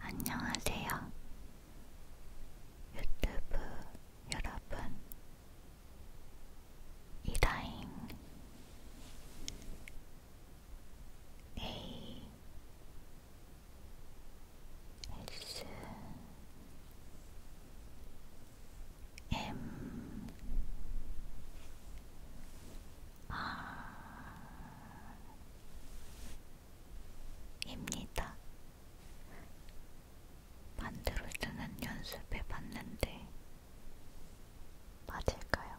안녕하세요. 유튜브 여러분, 이다인 A 네. S M R입니다. 만들어 쓰는 연습해 봤는데 맞을까요?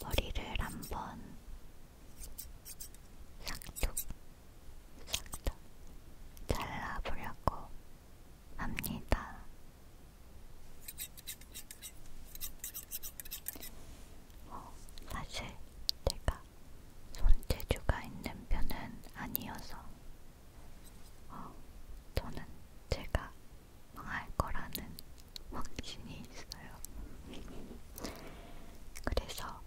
머리를 한번 싹둑 싹둑 잘라보려고 합니다. 어, 사실 제가 손재주가 있는 편은 아니어서 어, 저는 제가 망할 거라는 확신이 있어요. 그래서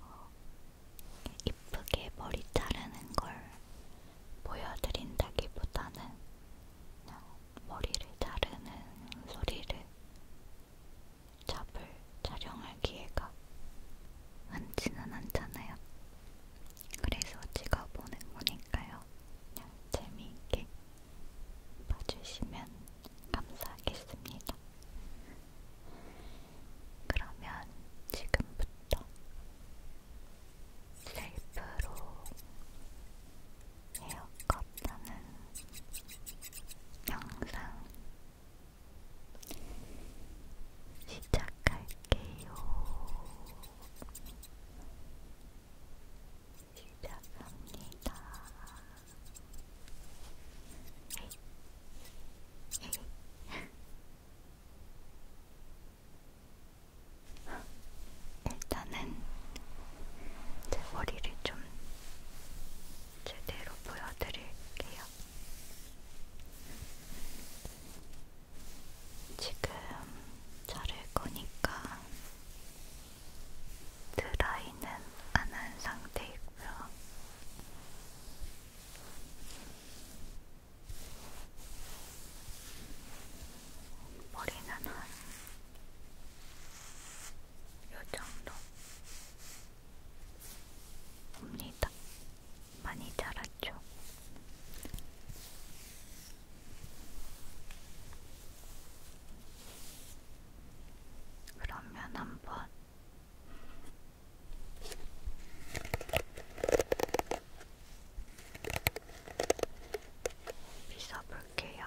어, 이쁘게 머리 자르는 걸 보여드린다기보다는 그냥 머리를 자르는 소리를 잡을 촬영할 기회가 많지는 않잖아요. 그래서 찍어보는 거니까요. 그냥 재미있게 봐주시면 감사하겠습니다. 그러면 지금부터 셀프로 헤어컷 하는 영상 시작할게요. 시작합니다. 에이. 에이. 일단은 제 머리를 좀 제대로 보여드릴게요. 지금 자를 거니까 드라이는 안 한 상태이고요. 머리는 한 요정도 옵니다. 많이 자랐죠. 그러면 한번 빗어볼게요.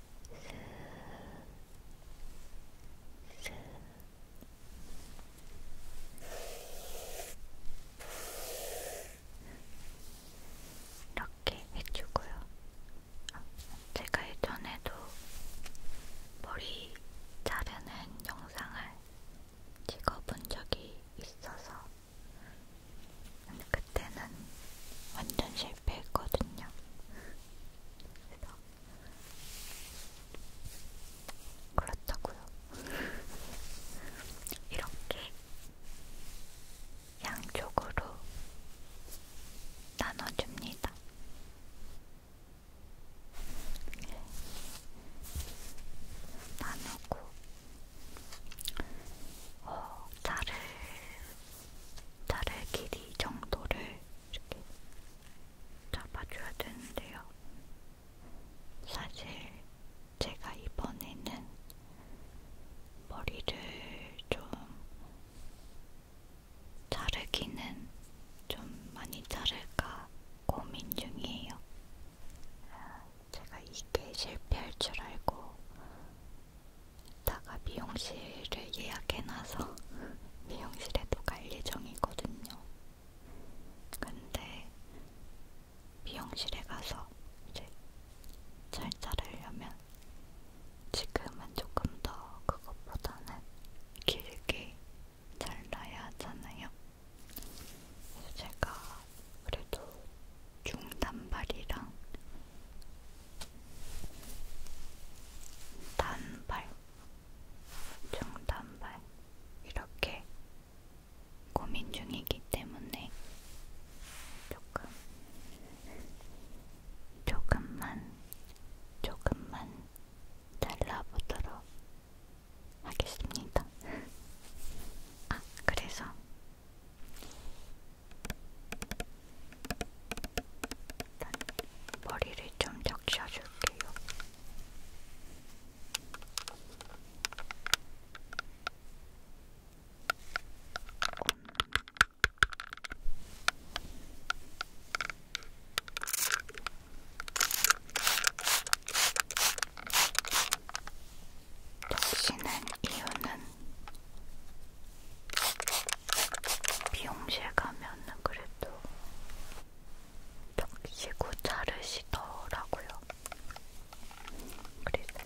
이렇게 해주고요. 아, 제가 예전에도 머리 자르는 영상을 찍어본 적이 있어서 근데 그때는 완전 실패했거든요. 그래서 그렇다고요. 이렇게 양쪽으로 나눠줍니다. 나누고 어, 자를 자를 길이 정도를 이렇게 잡아줘야 되는데요. 사실 제가 이번에는 머리를 좀 자르기는 좀 많이 자를까 고민 중이에요. 제가 이게 실패할 줄 알고 이따가 미용실을 예약해놔서 미용실에도 갈 예정이거든요. 근데 미용실에 가서 이제 잘 자르려면 지금은 조금 더 그것보다는 길게 잘라야 하잖아요. 그래서 제가 그래도 중단발이랑 단발, 정단발 이렇게 고민 중이기 때문에 조금, 조금만, 조금만 잘라보도록 하겠습니다. 아, 그래서 일단 머리를 좀 적셔줄게요. 적시는 음. 이유는 미용실 가면은 그래도 적시고 자르시더라고요. 그래서 이렇게.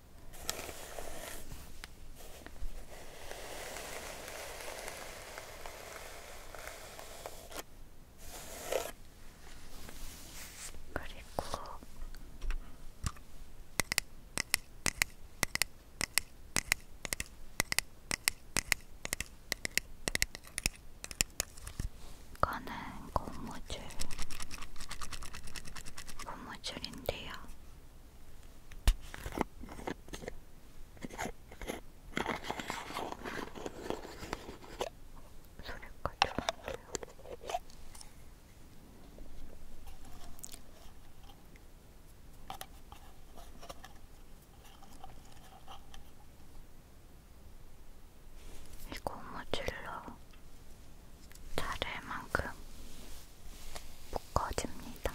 그리고 이거는 고무줄 고무줄인데요. 소리가 좋은데요. 이거 모질러 자를 만큼 묶어줍니다.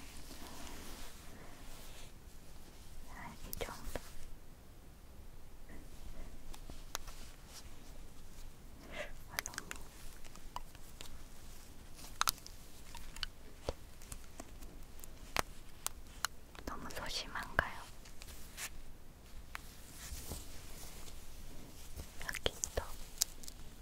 이 정도. 너무 소심한가요? 여기 또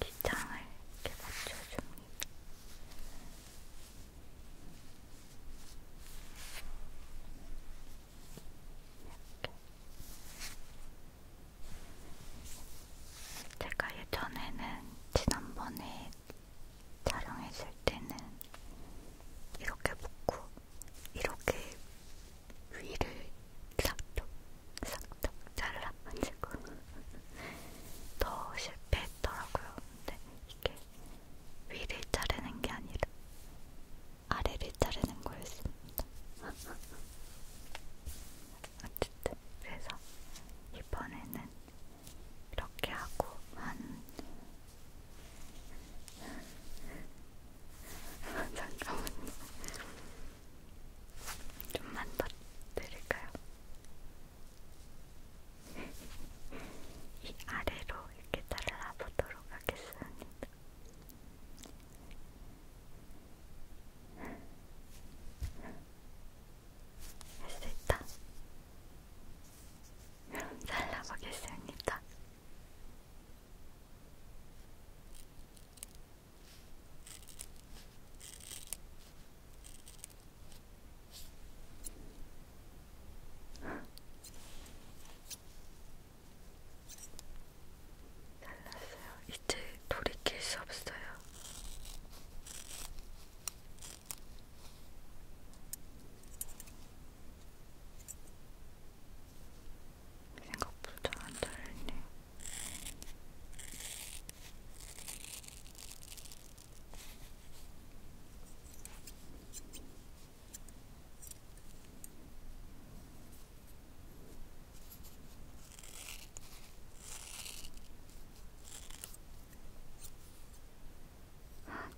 귀장을 이렇게 맞춰줍니다. 이렇게. 제가 예전에는 지난번에 촬영했을 때는 이렇게 묶고 이렇게 위를 싹둑 싹다 잘라가지고 더 실패했더라고요. 근데 이게 위를 자르는 게 아니라 아래를 자르는 거였습니다. 어쨌든 그래서 이번에는 이렇게 하고 한 잠깐만요. 좀만 더 드릴까요? 이 아래로 이렇게 달라보도록 하겠습니다. 할 수 있다. 잘라보겠습니다. 잘났어요. 이제 돌이킬 수 없어요. 생각보다 안 다르네.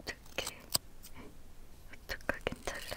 어떻게 어떡하긴 잘라야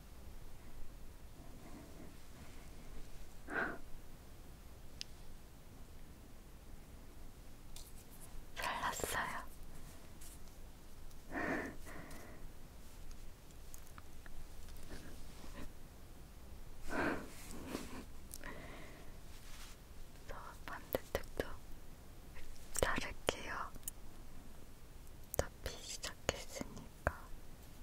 잘났어요. 저 반대쪽도 자를게요. 어차피 시작했으니까.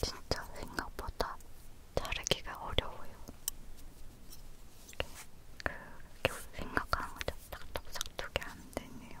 진짜 생각보다 자르기가 어려워요. 그렇게 생각하는 거죠. 딱딱딱 두게 안 되네요.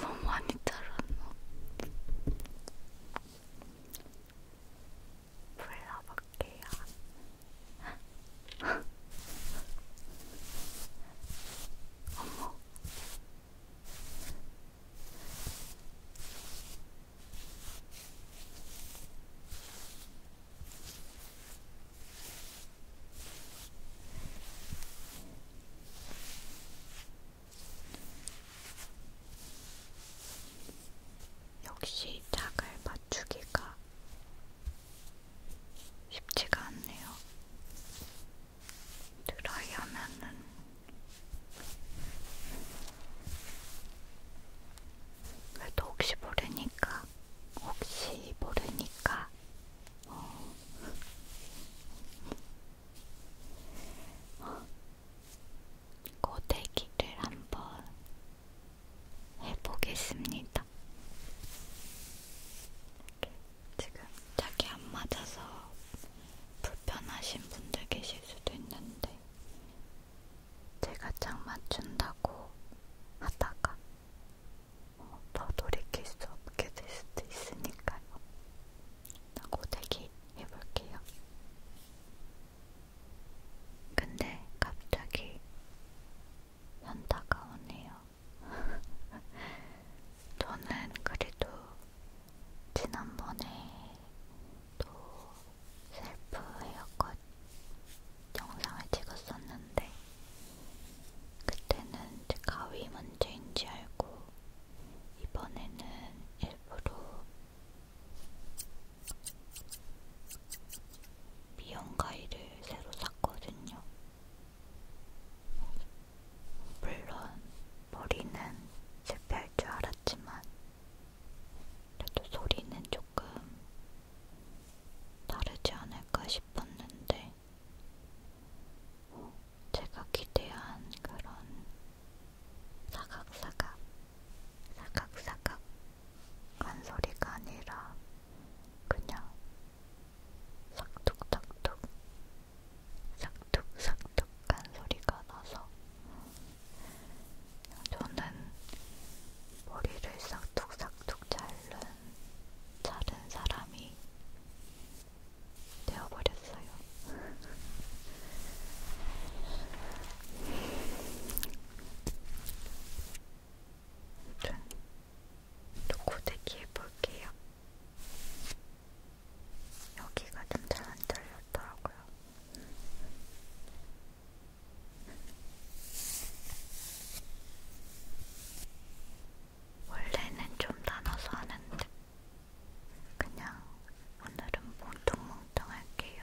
너무 많이 자랐나? 불러볼게요. 어머. 역시 짝을 맞추기가 쉽지가 않네요. 드라이하면은 그래도 혹시 모르니까, 혹시 모르니까, 어. 어. 고데기를 한번 해보겠습니다. 지금 자기 안 맞아서 불편하신 분들 계실 수도 있는데 제가 짝 맞춘다고 하다가 어, 더 돌이킬 수 없게 될 수도 있으니까요. 라고 대기해볼게요. 근데 갑자기 현타가 오네요. 저는 그래도 지난번에 또 셀프 헤어컷 영상을 찍었었는데 그때는 이제 가위 문제인지 알고 이번에는 일부러 미용 가위를 새로 샀거든요. 물론 머리는 실패할 줄 알았지만 그래도 소리는 조금 다르지 않을까 싶었는데, 제가 기대한 그런 사각사각, 사각사각 간 소리가 아니라 그냥 삭둑삭둑, 삭둑삭둑 간 소리가 나서 저는 머리를 싹둑싹둑 자른, 자른 사람이 되어버렸어요. 아무튼 또 고데기 해볼게요. 여기가 좀 잘 안 잘렸더라고요. 원래는 좀 나눠서 하는데 그냥 오늘은 뭉뚱뭉뚱 할게요.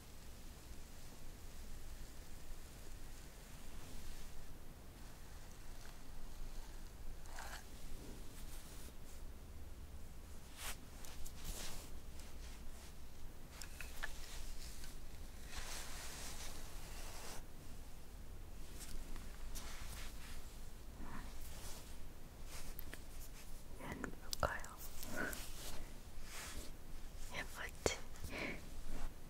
얘는 예, 볼까요? 예쁘지?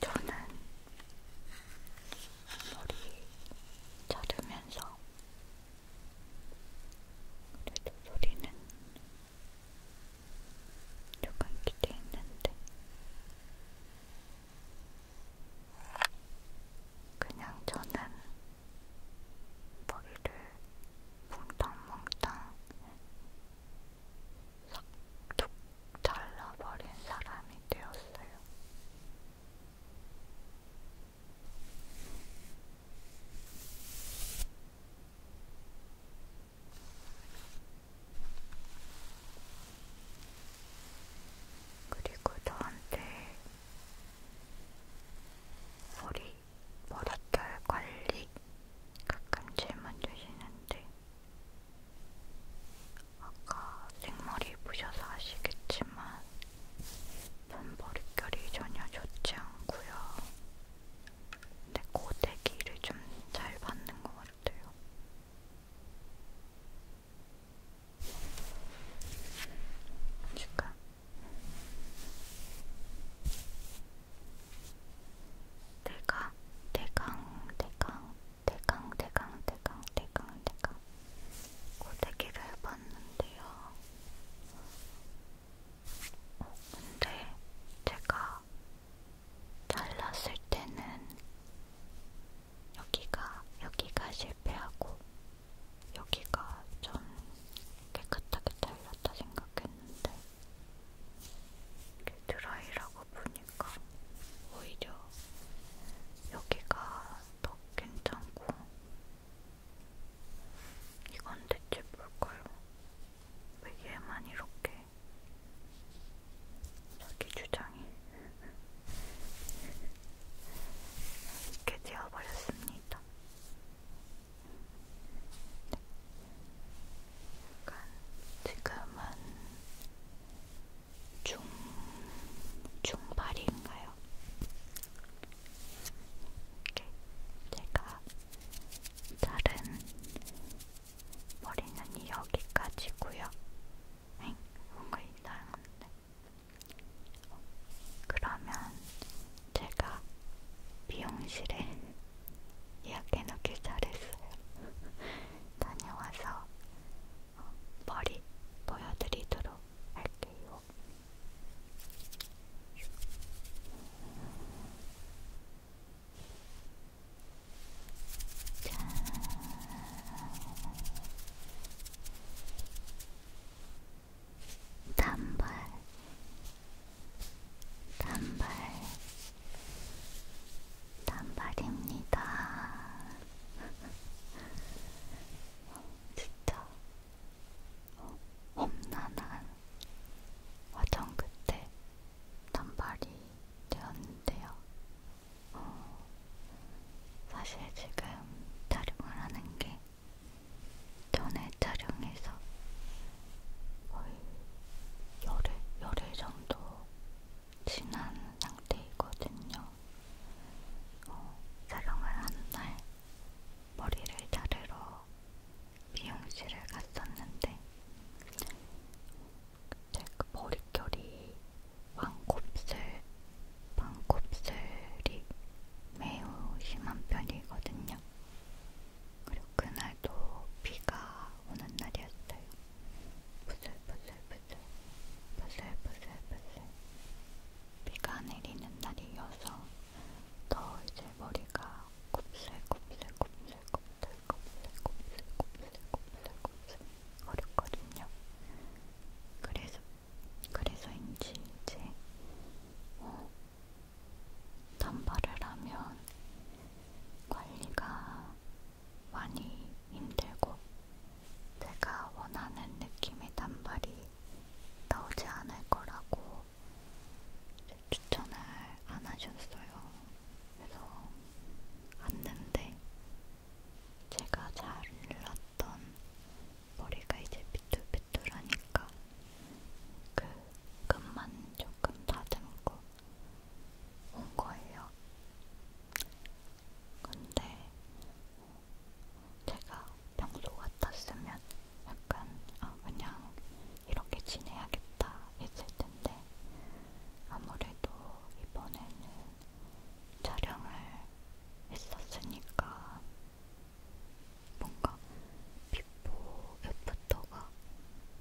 저는 머리 자르면서 그래도 소리는 조금 기대했는데 그냥 저는 머리를 몽땅몽땅 싹둑 잘라버린 사람이 되었어요. 그리고 너한테 머리, 머릿결 관리 가끔 질문 주시는데 아까 생머리 보셔서 아시겠지만 머릿결이 전혀 좋지 않고요. 근데 고데기를 좀 잘 받는 것 같아요. 지금 대강 대강 대강 대강 대강 대강 대강 대강 고데기를 해봤는데요. 어, 근데 제가 잘랐을 때는 여기가 여기가 실패하고 여기가 좀 깨끗하게 잘렸다 생각했는데 드라이라고 보니까 오히려 여기가 더 괜찮고 이건 대체 뭘까요? 왜 얘만 이렇게 자기 주장이 이렇게 되어버렸습니다. 약간 지금은 중, 중발인가요? 이렇게 제가 다른 머리는 여기까지고요. 엥? 뭔가 이상한데? 그러면 제가 미용실에 예약해놓길 잘했어요. 다녀와서 어, 머리 보여드리도록 할게요. 자. 단발, 단발, 단발입니다. 어, 진짜 어, 험난한 화정 끝에 단발이 되었는데요. 어, 사실 지금 촬영을 하는 게 전에 촬영해서 거의 열흘, 열흘 정도 지난 상태이거든요. 어, 촬영을 하는 날 머리를 자르러 미용실을 갔었는데 제그 머릿결이 왕곱슬, 왕곱슬이 매우 심한 편이거든요. 그리고 그날도 비가 오는 날이었어요. 부슬부슬부슬, 부슬부슬부슬, 비가 내리는 날이어서 더 이제 머리가 곱슬곱슬곱슬곱슬곱슬곱슬곱슬곱슬곱슬거렸거든요. 그래서 그래서인지 이제 어, 단발을 하면 관리가 많이 힘들고 제가 원하는 느낌의 단발이 나오지 않을 거라고 추천을 안 하셨어요. 그래서 왔는데 제가 잘랐던 머리가 이제 비뚤비뚤하니까 그 끝만 조금 다듬고 온 거예요. 근데 제가 평소 같았으면 약간 아 그냥 이렇게 지내야겠다 했을 텐데 아무래도 이번에는 촬영을 했었으니까 뭔가 비포 애프터가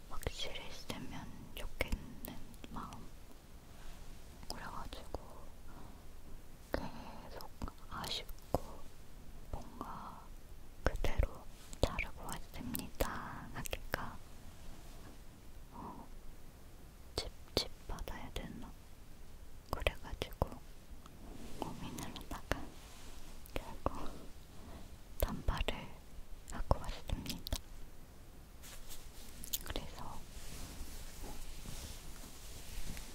확실했으면 좋겠는 마음 그래가지고 계속 아쉽고 뭔가 그대로 자르고 왔습니다. 하기가 어, 집집 받아야 되나? 그래가지고 고민을 하다가 결국 단발을 하고 왔습니다. 그래서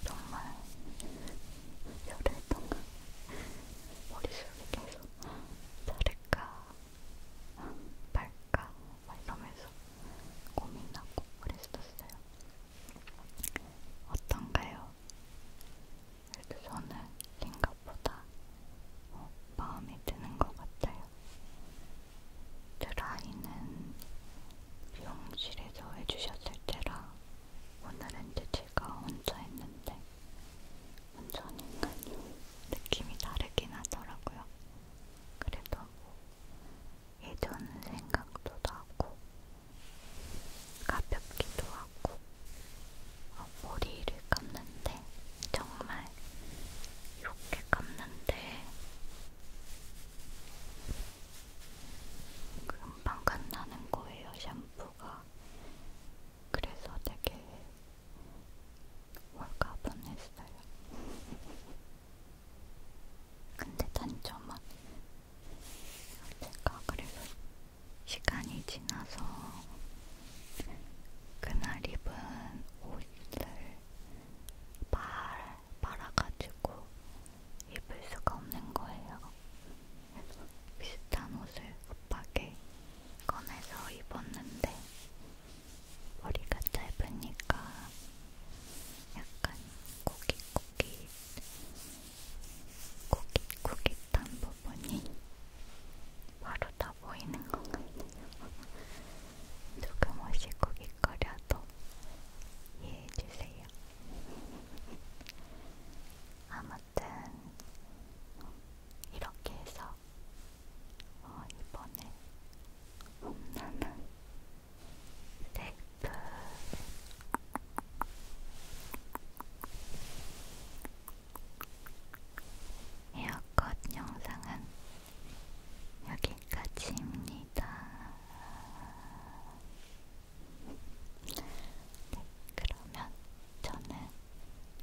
정말 열흘 동안 머릿속에 계속 자를까 말까 막 이러면서 고민하고 그랬었어요. 어떤가요? 그래도 저는 생각보다 어, 마음에 드는 것 같아요. 드라이는 미용실에서 해주셨을 때라 오늘은 이제 제가 혼자 했는데 혼자 하니까요 느낌이 다르긴 하더라고요. 그래도 뭐 예전 생각도 나고 가볍기도 하고 어, 머리를 감는데 정말 이렇게 감는데 금방 끝나는 거예요, 샴푸가. 그래서 되게 홀가분했어요. 근데 단점은 제가 그래서 시간이 지나서 그날 입은 옷을 빨, 빨아가지고 입을 수가 없는 거예요. 비슷한 옷을 급하게 꺼내서 입었는데 머리가 짧으니까 약간 고깃고깃 고깃고깃한 부분이 바로 다 보이는 것 같아요. 조금 옷이 고깃 될 거라도 이해해주세요. 아무튼 이렇게 해서 어, 이번에 홈런은 세이프 에어컷 영상은 여기까지입니다. 네, 그러면 저는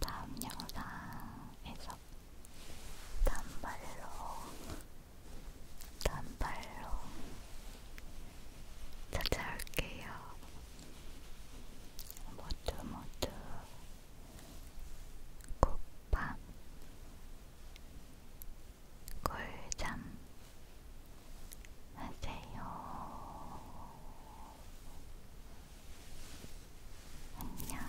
다음 영상에서 단발로, 단발로 찾아올게요. 모두 모두 굿밤. 꿀잠 하세요. 안녕.